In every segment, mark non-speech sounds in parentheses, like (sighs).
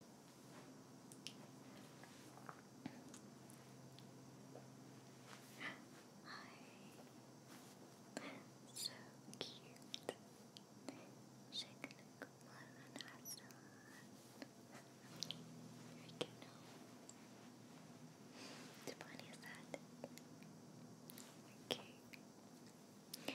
Hi. So cute. Shake the one and I can know. The funny is that. Okay.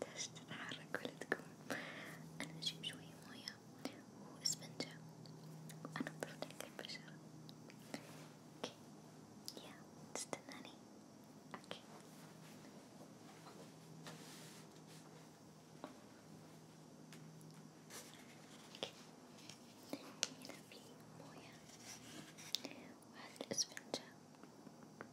تحتاج تتحرك ولا تقوم أنا أجيب شوية موية وإسفنجة وأنظف لك البشرة اوكي يا تستناني اوكي هنا في موية وهذه الإسفنجة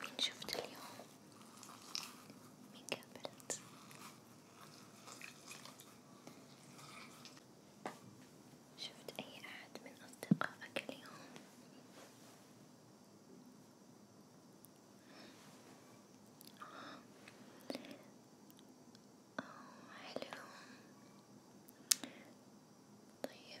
مين شفت اليوم؟ مين قابلت؟ شفت أي أحد من أصدقائك اليوم؟ آه. آه حلو طيب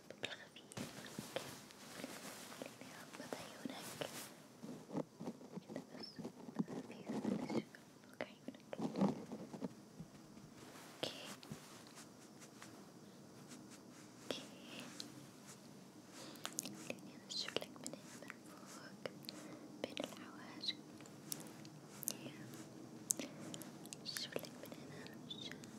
بالطبل الخفيف اللي عم بعيونك كده بس خفيف بلاش فوق عيونك اوكي اوكي خليني انشفلك من هنا من فوق بين الحواجب شوف لك من هنا عشان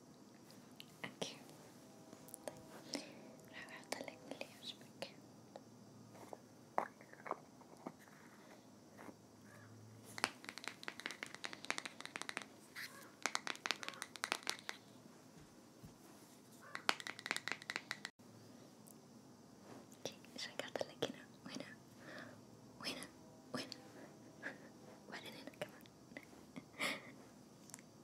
اوكي طيب راح احطلك اللي يعجبك اوكي ايش راح احطلك هنا وهنا وهنا وهنا وبعدين هنا كمان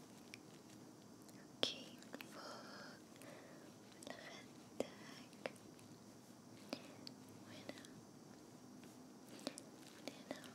اوكي من فوق من خدك وهنا من هنا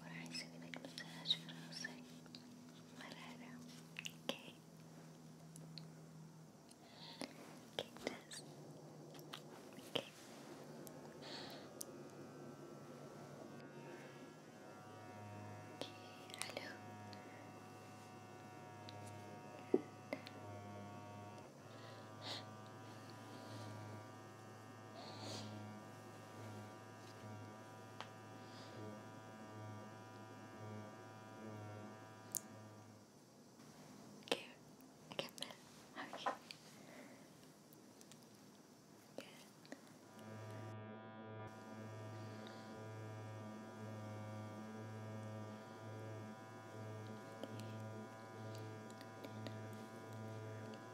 وراح نسوي لك مساج في راسك مرارة اوكي اوكي ممتاز اوكي اوكي حلو اوكي Cute. I get that. How are you? Good. Okay.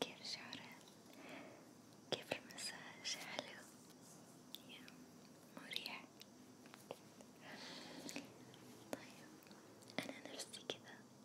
كيف شعرك؟ كيف المساج؟ حلو؟ مريح؟ طيب أنا نفسي كذا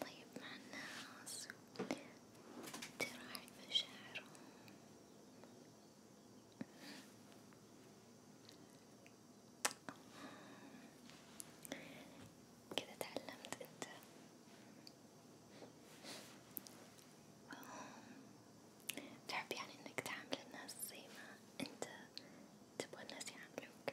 طيب مع الناس تراعي مشاعرهم كذا تعلمت انت تحب يعني انك تعامل الناس زي ما انت تبغى الناس يعاملوك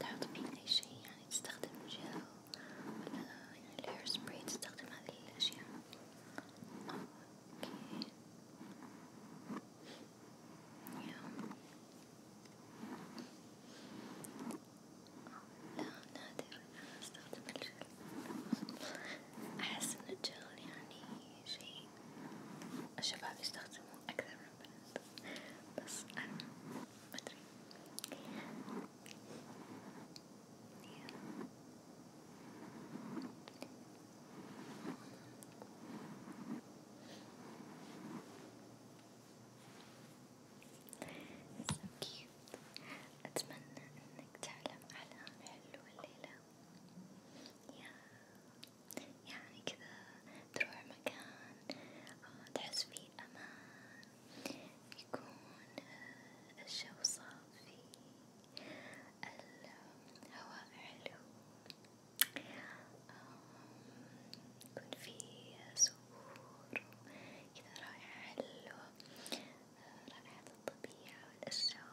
تعطي أي شيء يعني تستخدم جل ولا يعني الهير سبراي تستخدم هذه الأشياء أوكي لا نادر أنا أستخدم الجل أحس إن الجل يعني شيء الشباب يستخدموه أكثر من البنات بس أنا مدري so cute. أتمنى إنك تعلم أحلام حلوة الليلة يعني كذا تروح مكان تحس فيه أمان يكون الجو صافي الهواء حلو يكون فيه زهور كذا رائحة حلوة رائحة الطبيعة والأشجار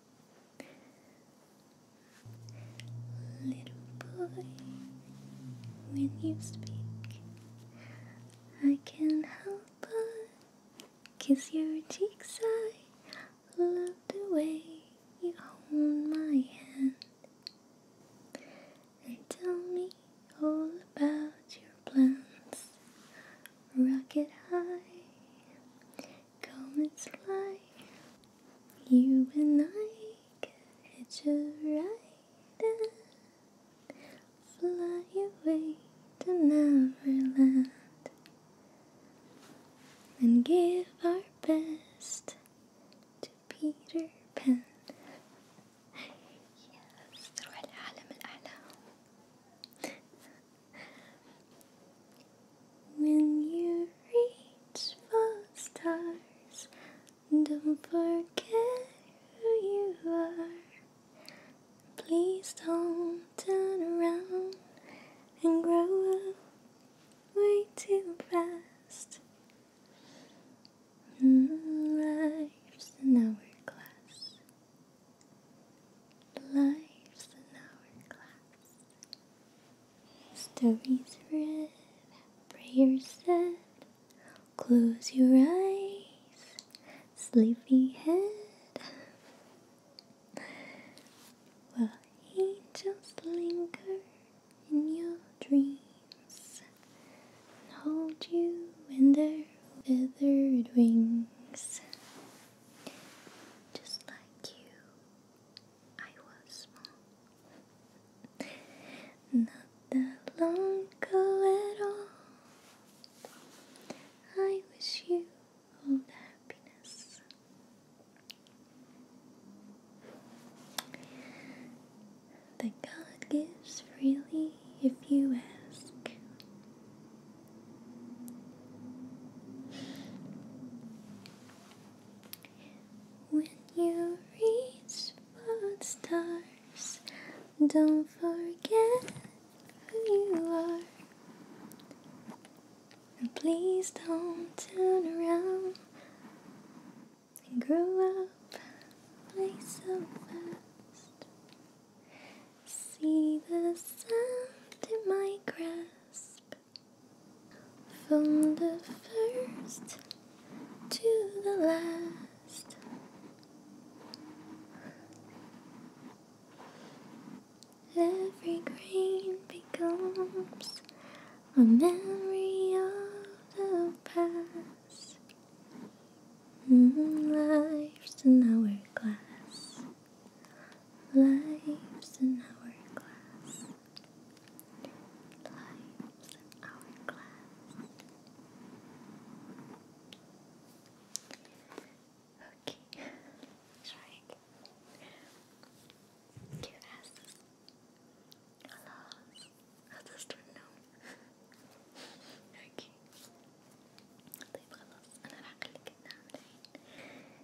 Little boy, when you speak, I can help but kiss your cheeks. I love the way you hold my hand and tell me all about your plans. Rocket high, come and fly. You and I catch a ride and fly away to Neverland and give our best to Peter Pan. yes, when you reach for stars, don't forget who you are. Please don't turn around and grow up way too fast. Mm, life's an hourglass. Life's an hourglass. Stories read, prayers said. Close your eyes, sleepy head. While angels linger in your dreams and hold you in their feathered wings. Just like you, I was small. Not that long ago at all. I wish you all the happiness. That God gives freely if you ask. When you reach for the stars, don't forget who you are. And please don't turn around and grow up like so fast. See the sand in my grasp From the first to the last Every grain becomes a memory of the past mm, Life's an hourglass Life's an hourglass. Life's an hourglass. Okay, try again. Cute asses. Hello. I just don't know. okay. طيب خلاص أنا راح أخليك تنام الحين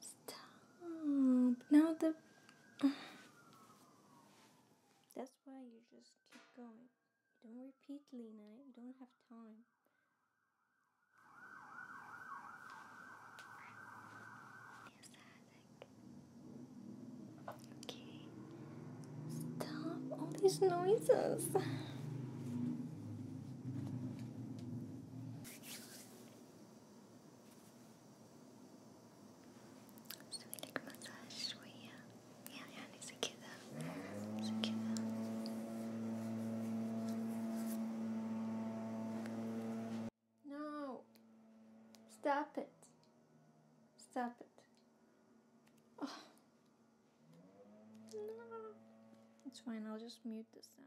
Stop. Now the. (sighs) That's why you just keep going. Don't repeat, Lena. You don't have time music. Okay. Stop all these noises. Sweet massage. We yeah, yeah, yeah, no. Stop it. Stop it. Oh. No. It's fine, I'll just mute the sound.